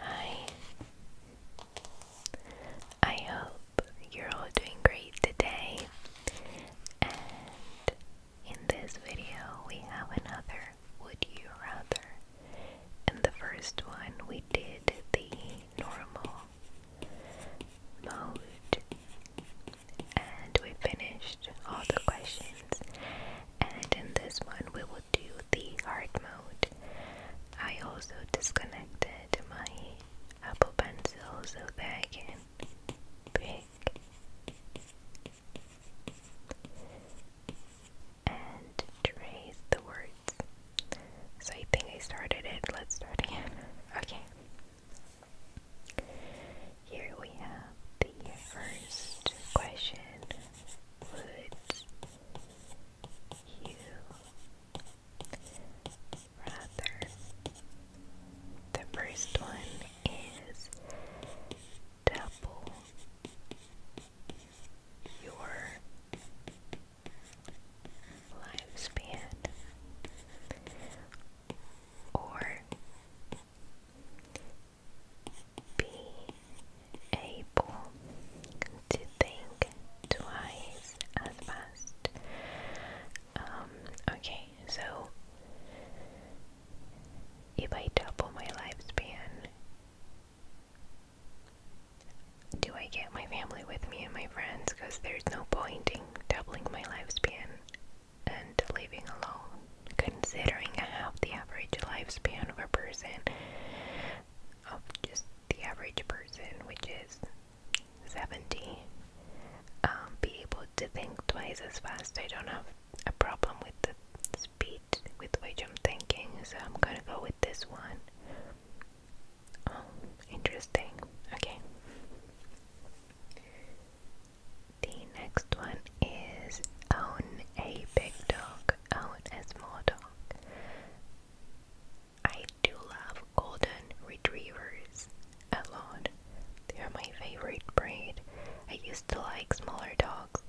Hi. I hope you're all doing great today. And in this video, we have another Would You Rather. In the first one, we did the normal mode and we finished all the questions. And in this one, we will to the art mode. I also disconnected my Apple Pencil so that I can pick and trace the words. So I think I started it. Let's start again. Okay. Here we have the first question would you rather? The first one is double your lifespan or be able to think twice as fast. Um, okay, so if I double my lifespan, do I get my family with me and my friends? Because there's no point in doubling my lifespan and living alone, considering I the average lifespan of a person, of just the average person, which is 70, um, be able to think twice as fast. I don't have a problem with the speed with which I'm thinking, so I'm gonna go with this one. Um, interesting. Okay. The next one is own a big dog out as Mordok. I do love golden retrievers a lot. They are my favorite breed. I used to like smaller dogs.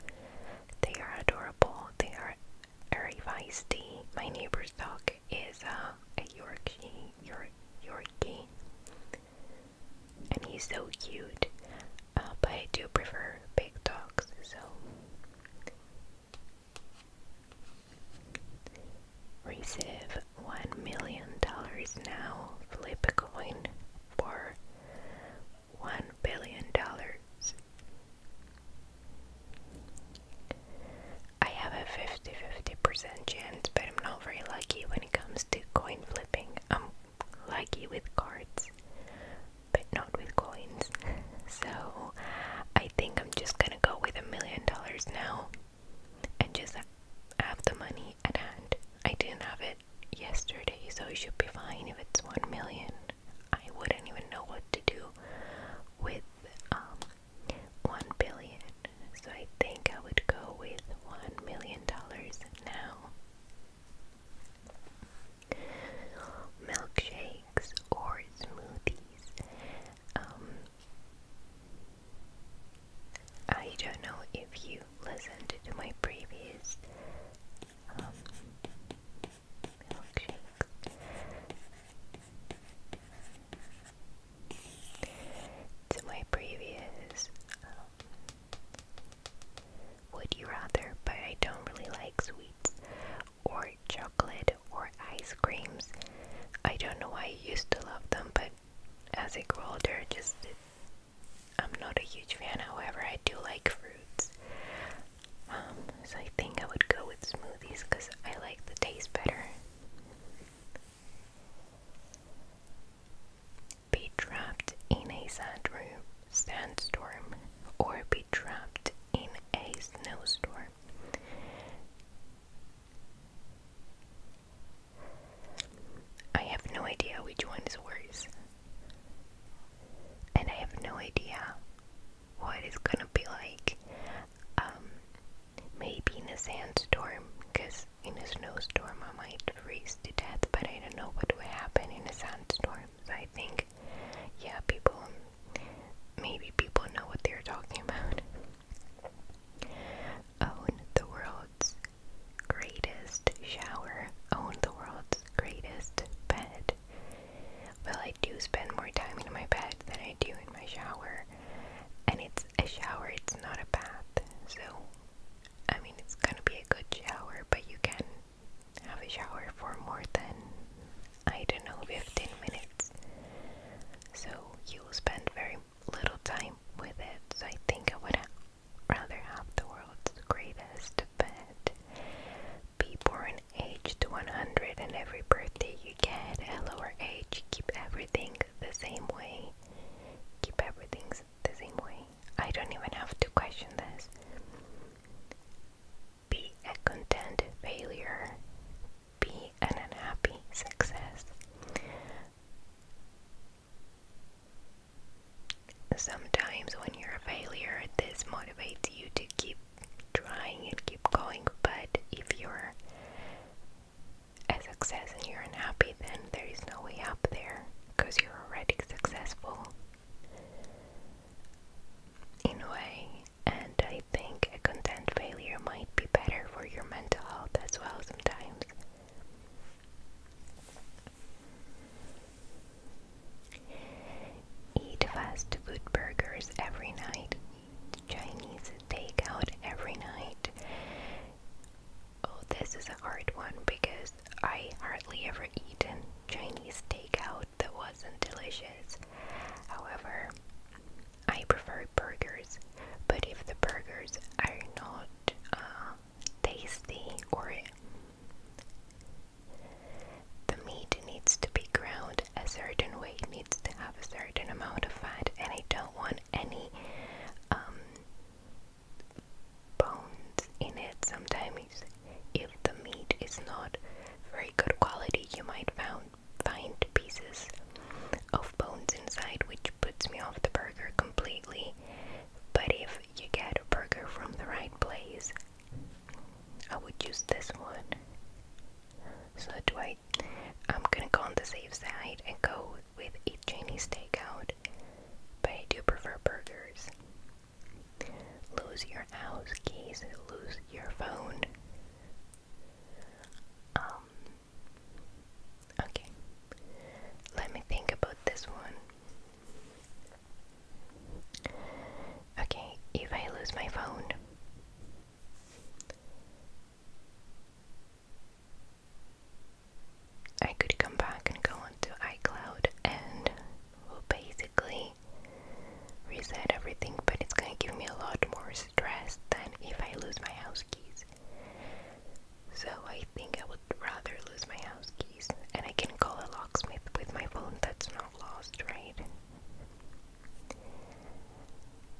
They are adorable. They are very feisty. My neighbor's dog is uh, a Yorkie, York, Yorkie, and he's so cute. Uh, but I do prefer big dogs, so Receive $1 million now. Flip a coin for $1 billion. I have a 50 50% chance, but I'm not very lucky when it comes to coin flipping lucky with cards, but not with coins. so I think I'm just gonna go with a million dollars now and just have the money at hand. I didn't have it yesterday, so I should be fine if it's one million. I wouldn't even know what to do with um, one billion, so I think I would go with one million dollars now milkshakes or smoothies. Um, I don't know if you listened to my previous um, milkshakes. To my previous um, would you rather? But I don't really like sweets or chocolate or ice creams. I don't know why I used to love them, but as I grow older, just I'm not a huge fan. However, I do like fruits. Um, so I think I would go with smoothies because I like the taste better. Be trapped in a sand room, sandstorm, or be trapped in a snowstorm. I have no idea which one is worse. And I have no idea what it's gonna be like. Um, maybe in a sandstorm, because in a snowstorm I might freeze to death, but I don't know what will happen in a sandstorm. So I think, yeah, people, maybe people know what they're talking about. Own the world's greatest shower. Own the world's greatest bed. Well, I do spend more time in my bed than I do in my shower. And it's a shower, it's not a bath. So, I mean, it's gonna be a good shower, but you can have a shower for more than, I don't know, 15 minutes. So you will spend very little time with it. So I think I would rather have the world's greatest bed in age to 100 and every birthday you get a lower age. Keep everything the same way. Keep everything the same way. I don't even have to question this. Be a content failure. Be an unhappy success. Sometimes, when you're a failure, this motivates you to keep trying and keep going, but if you're a success and you're unhappy, then there is no way up there because you're already successful in a way, and I think a content failure might be better for your mental health as well sometimes. Eat fast food burgers every night, Chinese takeout every night. Oh, this is a hard one because I hardly ever eat in Chinese takeout that wasn't delicious. However, I prefer burgers, but if the burgers are not uh, tasty or the meat needs to be ground a certain way, needs to have a certain amount of fat, and I don't want any um, bones in it. Sometimes if the meat is not very good quality, you might find find pieces of bones inside, which puts me off the burger completely. But if you get a burger from the right place, I would use this one. So do I? I'm gonna go on the safe side and go with a Chinese takeout, but I do prefer burgers. Lose your house keys, lose your phone. Um, okay. Let me think about this one. Okay, if I lose my phone, I could come back and go onto iCloud and Will basically reset everything, but it's gonna give me a lot more stress than if I lose my house keys. So I think I would rather lose my house keys and I can call a locksmith with my phone that's not lost, right?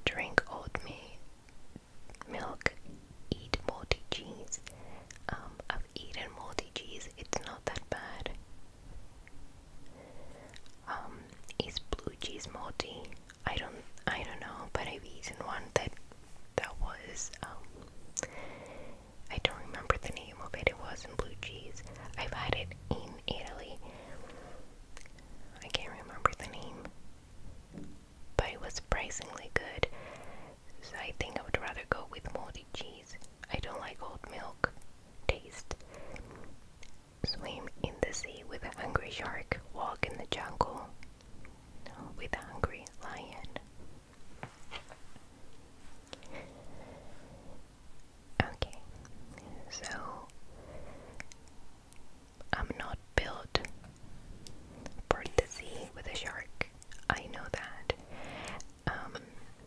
Drink oatmeal milk, eat moldy cheese. Um, I've eaten moldy cheese, it's not that bad. Um, is blue cheese multi? I don't, I don't know, but I've eaten one that that was. Um, I don't remember the name of it. It wasn't blue cheese. I've had it in Italy. I can't remember the name, but it was surprisingly good. So I think I would rather go with moldy cheese. I don't like old milk taste. Swim in the sea with a hungry shark, walk in the jungle with a hungry lion. Okay, so I'm not built for the sea with a shark. I know that. Um,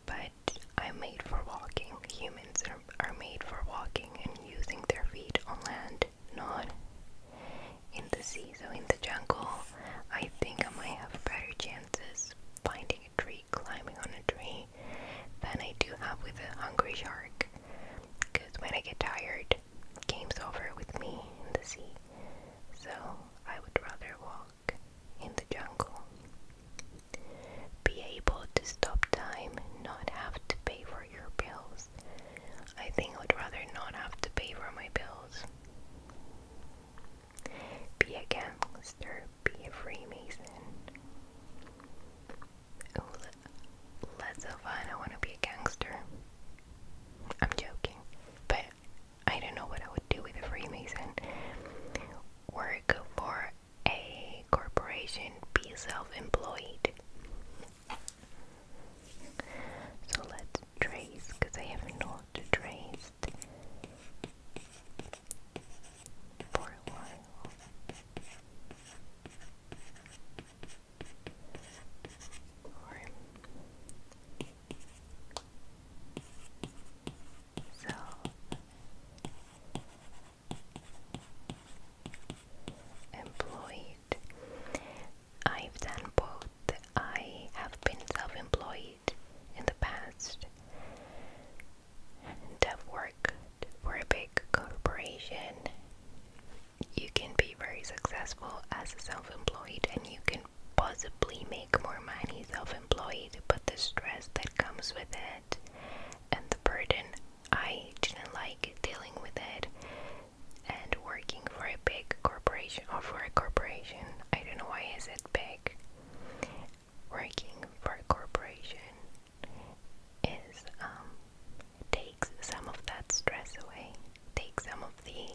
but I'm made for walking. Humans are, are made for walking and using their feet on land, not in the sea. So, in the jungle, I think I might have better chances finding a tree, climbing on a tree, than I do have with a hungry shark. Because when I get tired, game's over with me in the sea. So, I would rather walk in the jungle. Be able to stop time, not have to pay for your bills. I think I would rather not have to pay for my bills. Be a gangster, be a Freemason. that's so fun. I want to be a gangster. I'm joking, but I don't know what I would do with a Freemason. Work for a corporation, be self employed. So let trace because I have not traced for a while. So employed. I've done both. I have been self-employed in the past and I've worked for a big corporation. You can be very successful as a self-employed and you can possibly make more money self-employed, but the stress that comes with it and the burden. I didn't like dealing with it and working for a big corporation or for a corporation. I don't know why is it big. Working for a corporation is um takes some of that stress away, takes some of the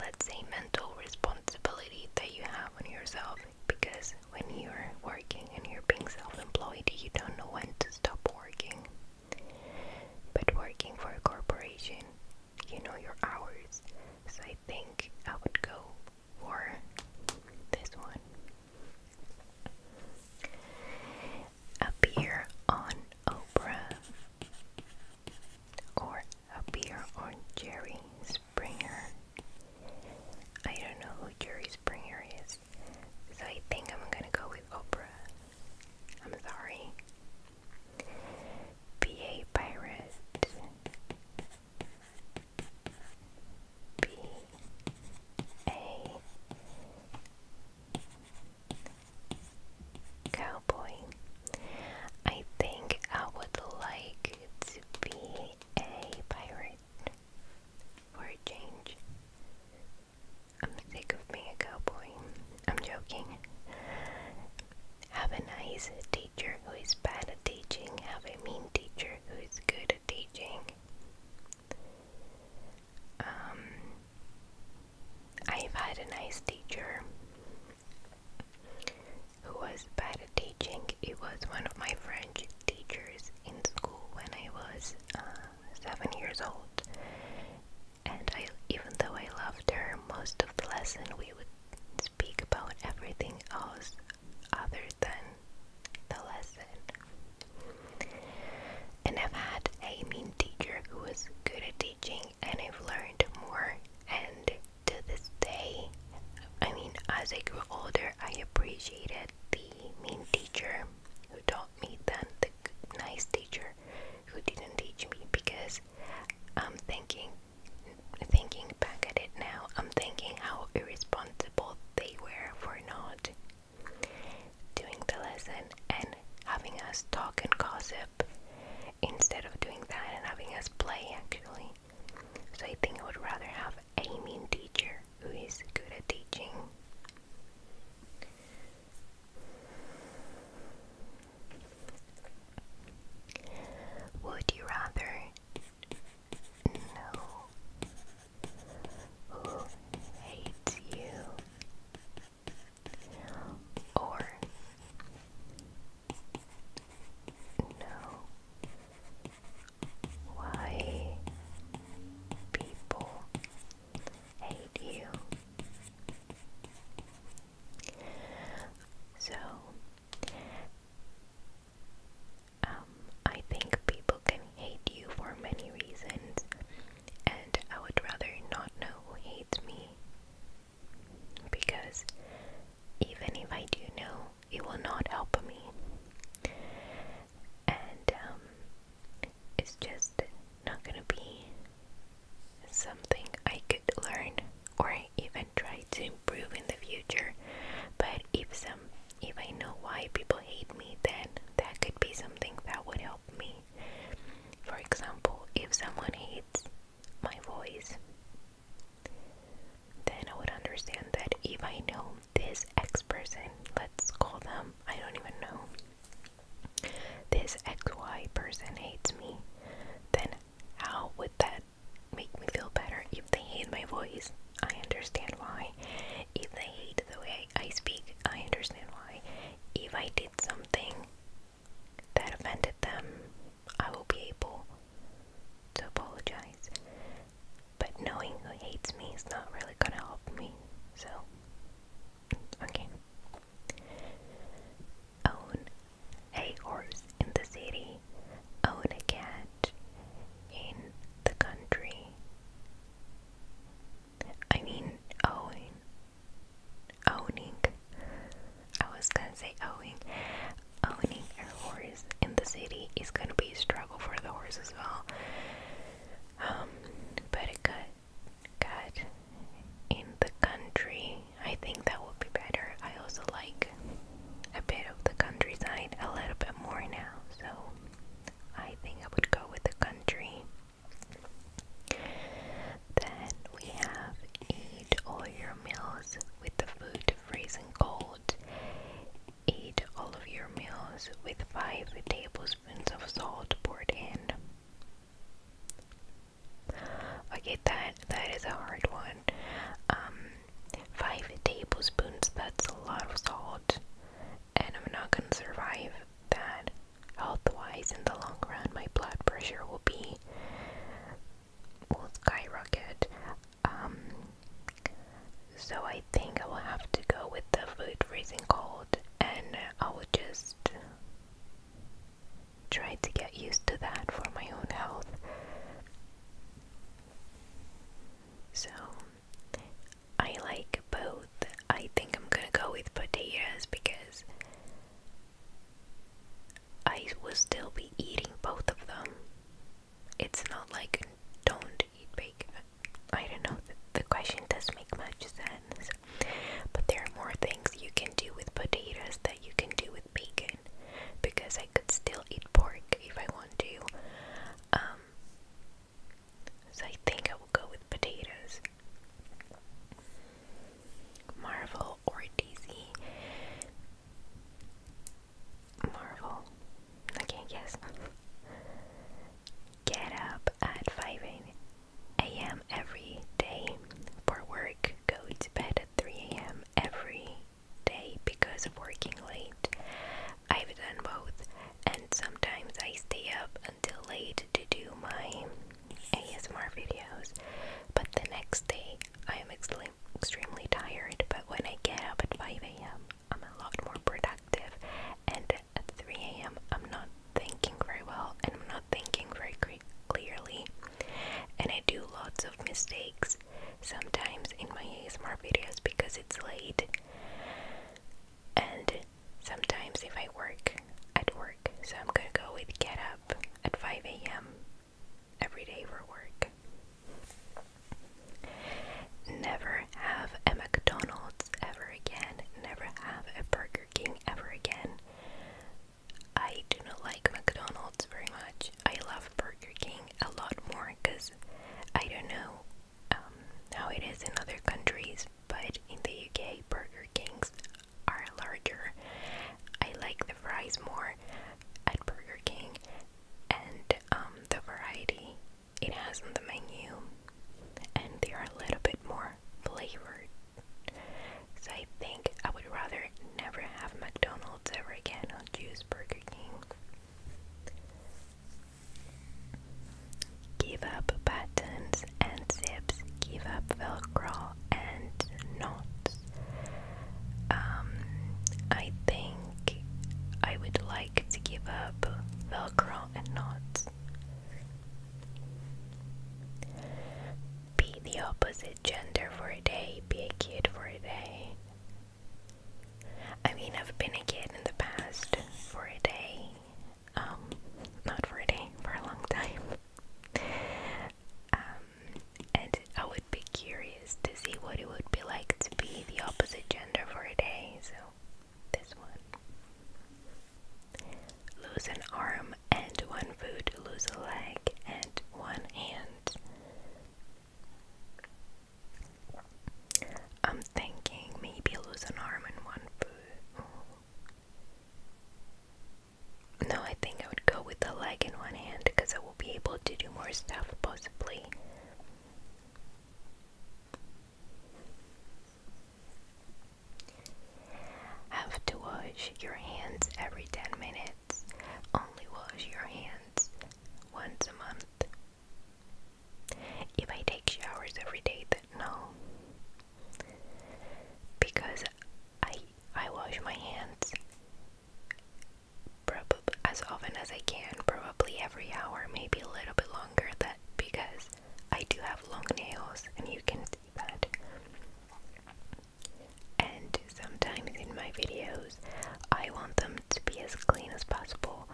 let's say mental responsibility that you have on yourself because when you're working and you're being self-employed you don't know when to stop working but working for a corporation you know your hours so i think i would go for this one appear on oprah or appear on Jerry Springer. I don't know who Jerry Springer is, so I think I'm gonna go with Oprah. I'm sorry. PA Pirate. P A Cowboy. I think I would like to be a pirate for a change. I'm sick of being a cowboy. I'm joking. Have a nice teacher who is bad at teaching. Have a mean teacher who is good at teaching. Um, I've had a nice teacher who was bad at teaching. It was one of my French teachers in school when I was uh, seven years old. And I, even though I loved her, most of the lesson we would speak about everything else other than the lesson. And I've had a mean teacher who was good at teaching, and I've learned more and to this day, I mean, as I grew older, I appreciated the mean teacher who taught me than the nice teacher who didn't teach me because I'm thinking, thinking back at it now, I'm thinking how irresponsible they were for not doing the lesson and having us talk and gossip instead of doing that and having us play actually. So I think I would rather have a mean teacher who is good at teaching. Would you rather? No. Who hates you? Or know why people hate you. So, um, I think people can hate you for many reasons, and I would rather not know who hates me because even if I do know, it will not help me. And um, it's just not gonna be something I could learn or even try to improve in the future. But if some, if I know why people hate me, then that could be something that would help me. For example, if someone hates my voice, then I would understand that if I know this X person, let's call them, I don't even know, this XY person hates me, then how would that make me feel better? If they hate my voice, I understand why. If they hate the way I speak, I understand why. If I did something that offended them, I will be able to apologize. But knowing who hates me is not really gonna help me, so. Okay. Own a horse in the city, own a cat in the country. I mean, Owning I was gonna say owning owning a horse in the city is gonna be a struggle for the horse as well. Um, but it got got in the country. I think that would be better. I also like a bit of the countryside a little bit more now, so I think I would go with the country. Then we have eat all your meals with the food freezing cold. Eat all of your meals with 5 tablespoons of salt poured in. I get that that is a hard one. Um, 5 tablespoons, that's a lot of salt and I'm not going to survive that health-wise in the long run. My blood pressure will be will skyrocket. Um, so I think I will have to go with the food freezing cold, and I will just try to get used to that for my own health. So I like both. I think I'm gonna go with potatoes because I would still be eating both of them. It's not like don't eat bacon. I don't know, the, the question doesn't make much sense. But there are more things you can do with potatoes that you can do with bacon. Because I could still eat pork if I want to. Um, so I think I will go with potatoes. Marvel or DC. Marvel. Okay, yes. Get up at 5 a.m. every day for work. Go to bed at 3 a.m. every day because of working late. I've done both, and sometimes I stay up until late to do my ASMR videos, but the next day I am extreme, extremely tired, but when I get up at 5 a.m., I'm a lot more productive. And at 3 a.m., I'm not thinking very well and I'm not thinking very clearly. And I do lots of mistakes sometimes in my ASMR videos because it's late. And sometimes if I work at work, so I'm gonna go with get up at 5 a.m every day for work. Never have a McDonald's ever again. Never have a Burger King ever again. I do not like McDonald's very much. I love Burger King a lot more because I don't know um, how it is in other countries, but in the UK, Burger Kings are larger. I like the fries more at Burger King and um, the variety it has on the menu, and they are a little bit more flavored. So I think I would rather never have McDonald's ever again or choose Burger King. Give up buttons and zips, give up Velcro, and not. Um, I think I would like to give up Velcro and knots. Be the opposite gender for a day, be a kid for a day. I mean, I've been a kid in the past for a day. Um, not for a day, for a long time. Um, and I would be curious to see what it would be like to be the opposite gender for a day. So, this one lose an arm and one foot, lose a leg and one hand. I'm thinking maybe lose an arm and one foot. No, I think I would go with the leg in one hand because I will be able to do more stuff possibly. Have to wash your hands every 10 minutes. Only wash your hands once a month. If I take showers every day, then no. Because I I wash my hands probably as often as I can, probably every hour, maybe a little bit longer that because I do have long nails and you can see that. And sometimes in my videos, I want them to be as clean as possible.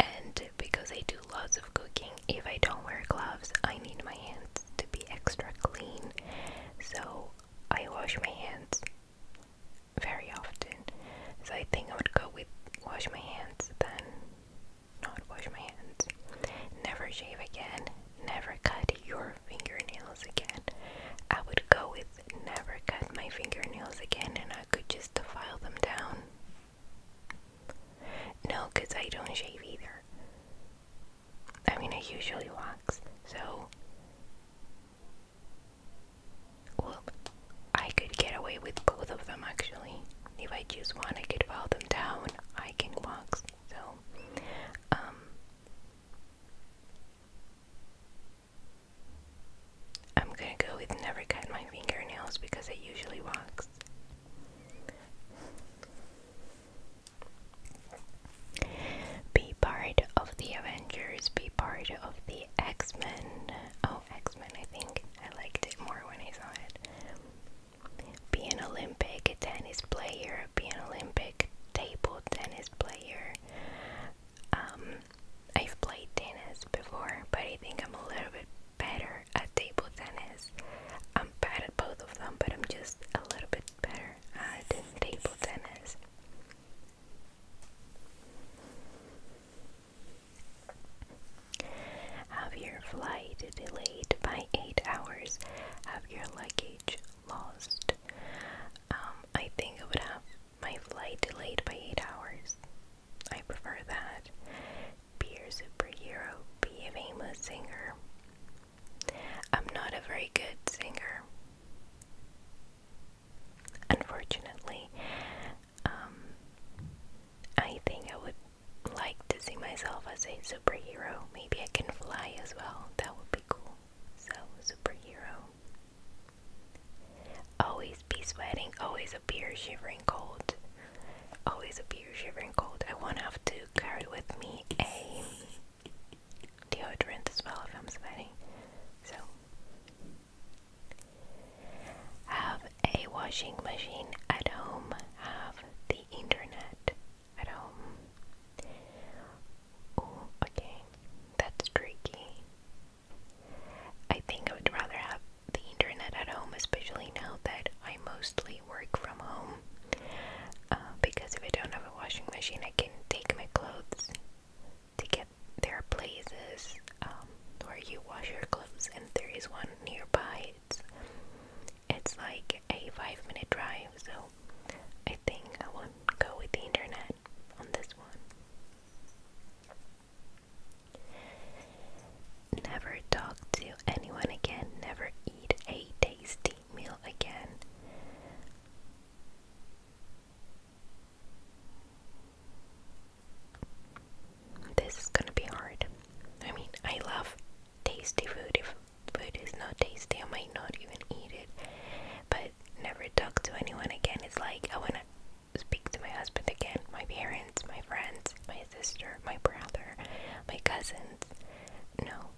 And because I do lots of cooking, if I don't wear gloves, I need my hands to be extra clean. So I wash my hands very often, so I think I would go with wash my hands then not wash my hands. Never shave again, never cut your fingernails again. I would go with never cut my fingernails again and I could just file them down. No, because I don't shave either. I mean, I usually works, so. Well, I could get away with both of them actually. If I choose one, I could file them down. I can walk, so. Um. I'm gonna go with never cut my fingernails because I usually works. Be part of the Avengers, be part of the X Men. Oh, X Men, I think. I liked it more when I saw it. Be an Olympic tennis player, be an Olympic table tennis player. Um, I've played tennis before, but I think I'm a little bit better at table tennis. I'm bad at both of them, but I'm just a little bit better uh, at table tennis. Have your flight delayed by 8 hours. Have your luggage lost. Um, I think I would have my flight delayed by 8 hours. I prefer that. Be your superhero. Be a famous singer. I'm not a very good singer. Unfortunately, um, I think I would like to see myself as a superhero. Maybe I can fly as well. That would be cool. So, superhero. Always be sweating, always appear shivering cold. Always appear shivering cold. I won't have to carry with me a deodorant as well if I'm sweating. So, have a washing machine at home, have the internet at home. Oh, okay, that's tricky. I think I would rather have the internet at home, especially now that I mostly work from home. Uh, because if I don't have washing machine. I can take my clothes to get there places um, where you wash your clothes, and there is one nearby. It's it's like a five minute drive, so I think I won't go with the internet on this one. Never talk to anyone again. Never eat a tasty meal again. This is gonna be hard. I mean, I love tasty food. If food is not tasty, I might not even eat it. But never talk to anyone again. It's like I wanna speak to my husband again, my parents, my friends, my sister, my brother, my cousins. No,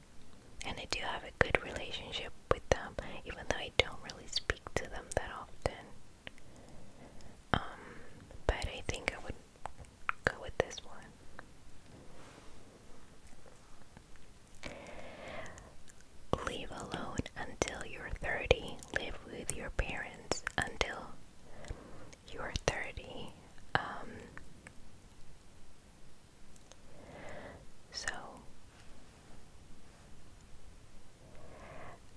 and I do have a good relationship with them, even though I don't really speak to them that often. Um, but I think I would go with this one. Leave alone until you're 30. Live with your parents until you're 30. Um, so,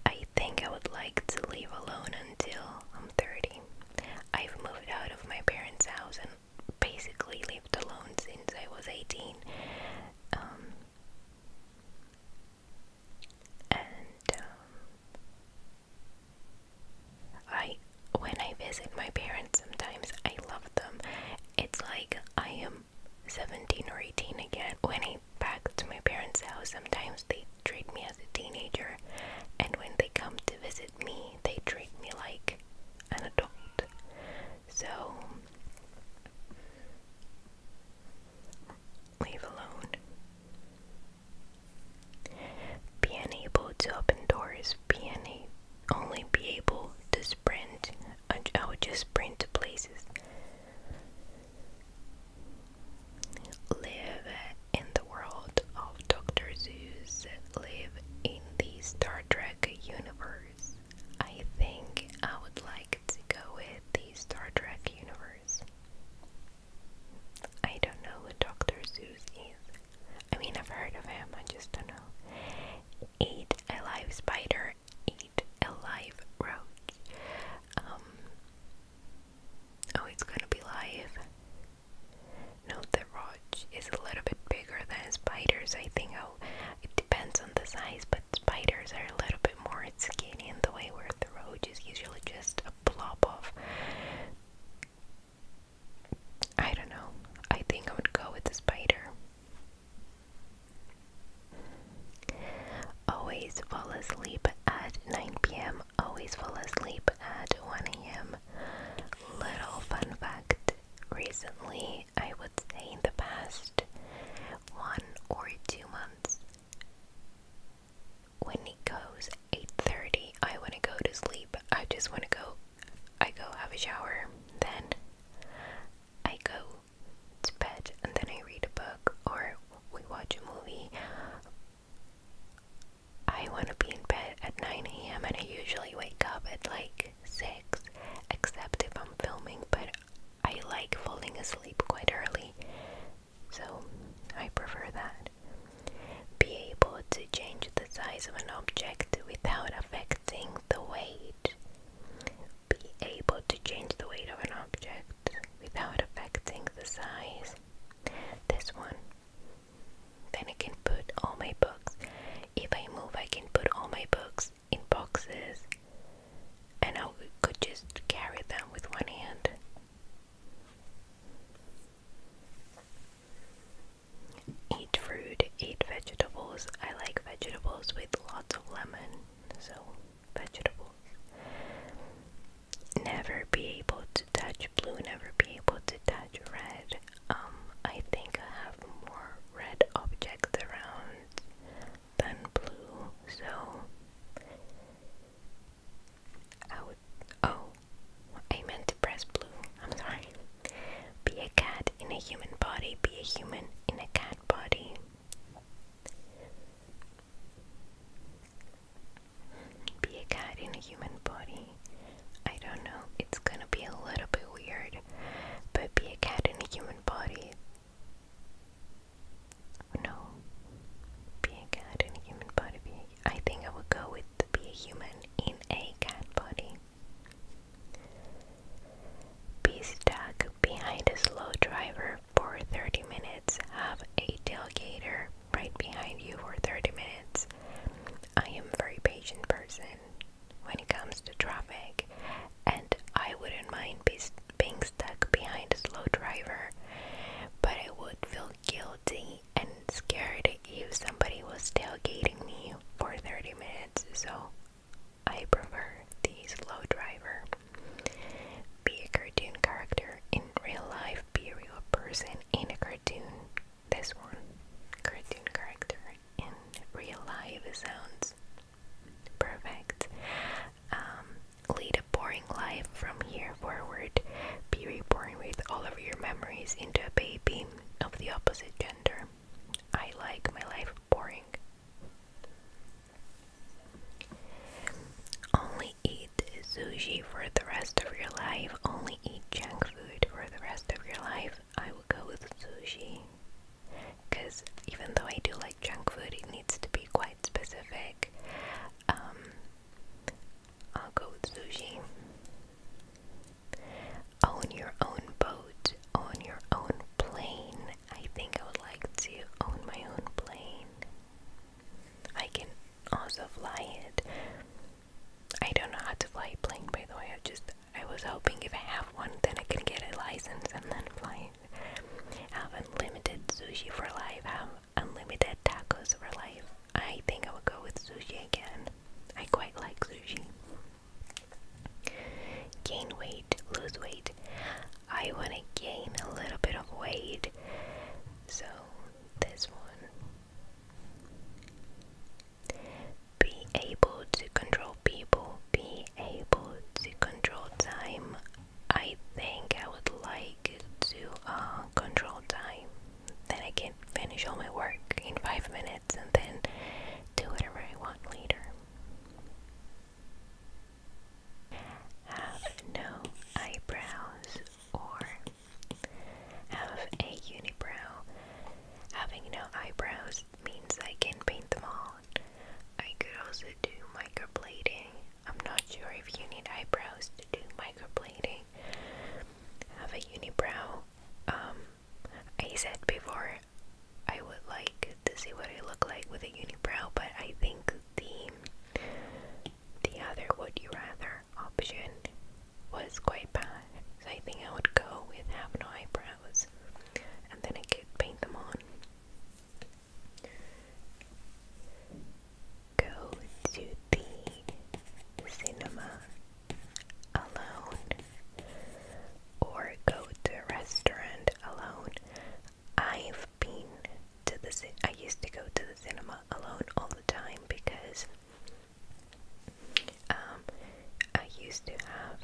I think I would like to live alone until I'm 30. I've moved out of my parents' house and basically lived alone since I was 18. Um, and um, I, when I visit my parents, sometimes I love them. It's like I am. 17 or 18 again. When I back to my parents' house, sometimes they treat me as a teenager, and when they come to visit me, they treat me like an adult. So, leave alone. Being able to open doors, being only be able to sprint. Uh, I, would just sprint to places. Live in the world of Dr. Zeus. Live in the Star Trek universe. I think I would like to go with the Star Trek universe. I don't know who Dr. Zeus is. I mean, I've heard of him, I just don't know ate a live spider, ate a live roach. Um, oh, it's gonna be live. No, the roach is a little bit bigger than spiders. I think oh, it depends on the size, but spiders are a little bit more skinny in the way where the roach is usually just a blob of. I don't know. I think I would go with the spider. Always fall asleep at 9 p.m. Always fall asleep at 1 a.m. Little fun fact recently, I would say in the past one or two months, when it goes 8:30, I want to go to sleep. I just want to go I go have a shower, then I go to bed, and then I read a book or we watch a movie. I want to be in bed at 9 a.m. and I usually wake up at like 6, except if I'm filming, but I like falling asleep quite early, so I prefer that. Be able to change the size of an object without affecting the weight be able to change the weight of an object without affecting the size. This one. Then I can put all my books. If I move, I can put all my books in boxes and I could just carry them with one hand eat fruit, eat vegetables. I like vegetables with lots of lemon, so vegetables. Never be able to touch blue, never be able to touch red. Um, I think I have more red objects around than blue, so I would. Oh, I meant to press blue. I'm sorry. Be a cat in a human body, be a human in a cat body. Be a cat in a human body. I don't know, it's gonna be a little bit weird, but be a cat in a human body. No, be a cat in a human body. Be a, I think I would go with be a human in a cat body. Be stuck behind a slow driver for 30 minutes. Have a tailgater right behind you for 30 minutes. I am a very patient person when it comes to traffic, and I wouldn't mind be being stuck behind a slow driver, but I would feel guilty and scared if somebody was tailgating me for 30 minutes. So I prefer the slow driver. Be a cartoon character in real life, be a real person in a cartoon. This one, cartoon character in real life, sounds perfect. Um, lead a boring life from here forward. Be reborn with all of your memories into a baby of the opposite gender. I like my life boring. Only eat sushi for the rest of your life. Only eat junk food for the rest of your life. I will go with sushi. Because even though I do like junk food, it needs to be quite specific. Um, I'll go with sushi. Own your own boat, own your own plane. I think I would like to own my own plane. I can also fly it. I don't know how to fly a plane, by the way. I just I was hoping if I have one, then I can get a license and then fly Have unlimited sushi for life. Have unlimited tacos for life. I think I would go with sushi again. I quite like sushi. Gain weight, lose weight. I want to gain a little bit of weight. So, this one. Be able to control people, be able to control time. I think I would like to uh, control time. Then I can finish all my work in five minutes and then do whatever I want later. Have no eyebrows or have a unibrow. Having no eyebrows means I can paint them all. I could also do microblading. I'm not sure if you need eyebrows to do microblading. Have a unibrow. Um, I said before I would like to see what I look like with a unibrow, but I think the the other would you rather option was quite bad. So I think I would go with have no eyebrows and then I could paint them on. Go to the cinema alone or go to a restaurant alone. I've been to the cin I used to go to the cinema alone all the time because um, I used to have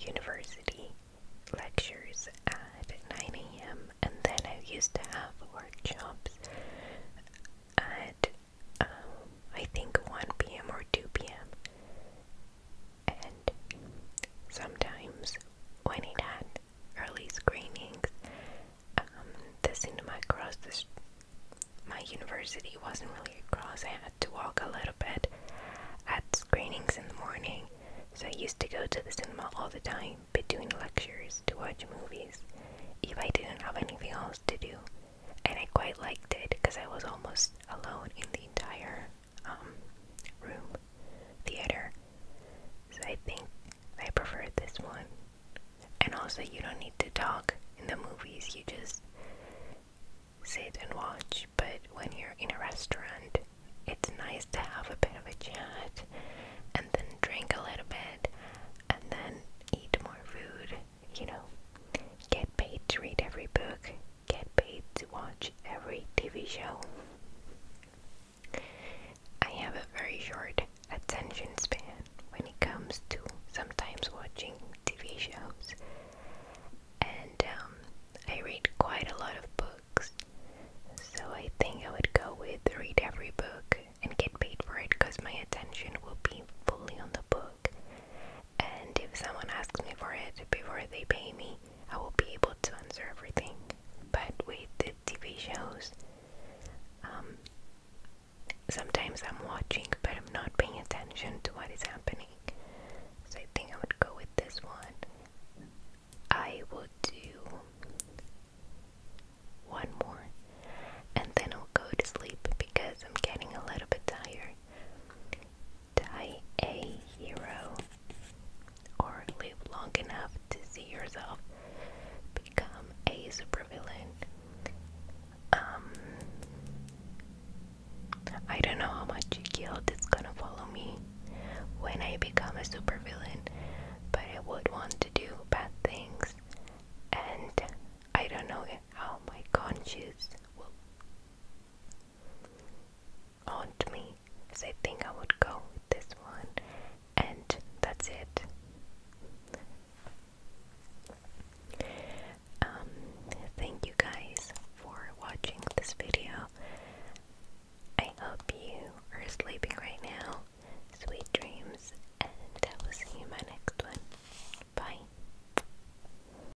university lectures at 9 a.m. and then I used to have workshops at um, I think 1 p.m. or 2 p.m and sometimes when it had early screenings, um, the cinema across the my university wasn't really across. I had to walk a little bit at screenings in the morning, so I used to go to the cinema all the time between lectures to watch movies if I didn't have anything else to do. And I quite liked it because I was almost alone in the entire um, room theater. So I think I prefer this one. And also, you don't need to talk in the movies, you just sit and watch. But when you're in a restaurant, it's nice to have a bit of a chat and then drink a little bit and then eat more food, you know, get paid to read every book get paid to watch every TV show. I have a very short attention span when it comes to sometimes watching TV shows, and um, I read quite a lot of books, so I think I would go with read every book and get paid for it because my attention will be fully on the book and if someone asks me for it before they pay me, I will be able to answer everything. But with the TV shows, um, sometimes I'm watching but I'm not paying attention to what is happening. So I think I would go with this one. I will do one more and then I'll go to sleep because I'm getting a little bit tired die a hero or live long enough to see yourself become a supervillain. Um, I don't know how much guilt is gonna follow me when I become a supervillain, but I would want to do bad things, and I don't know how my conscience will haunt me. So I think I would go this one, and that's it. Um, thank you guys for watching this video. I hope you are sleeping right now. Sweet dreams, and I will see you in my next one. Bye.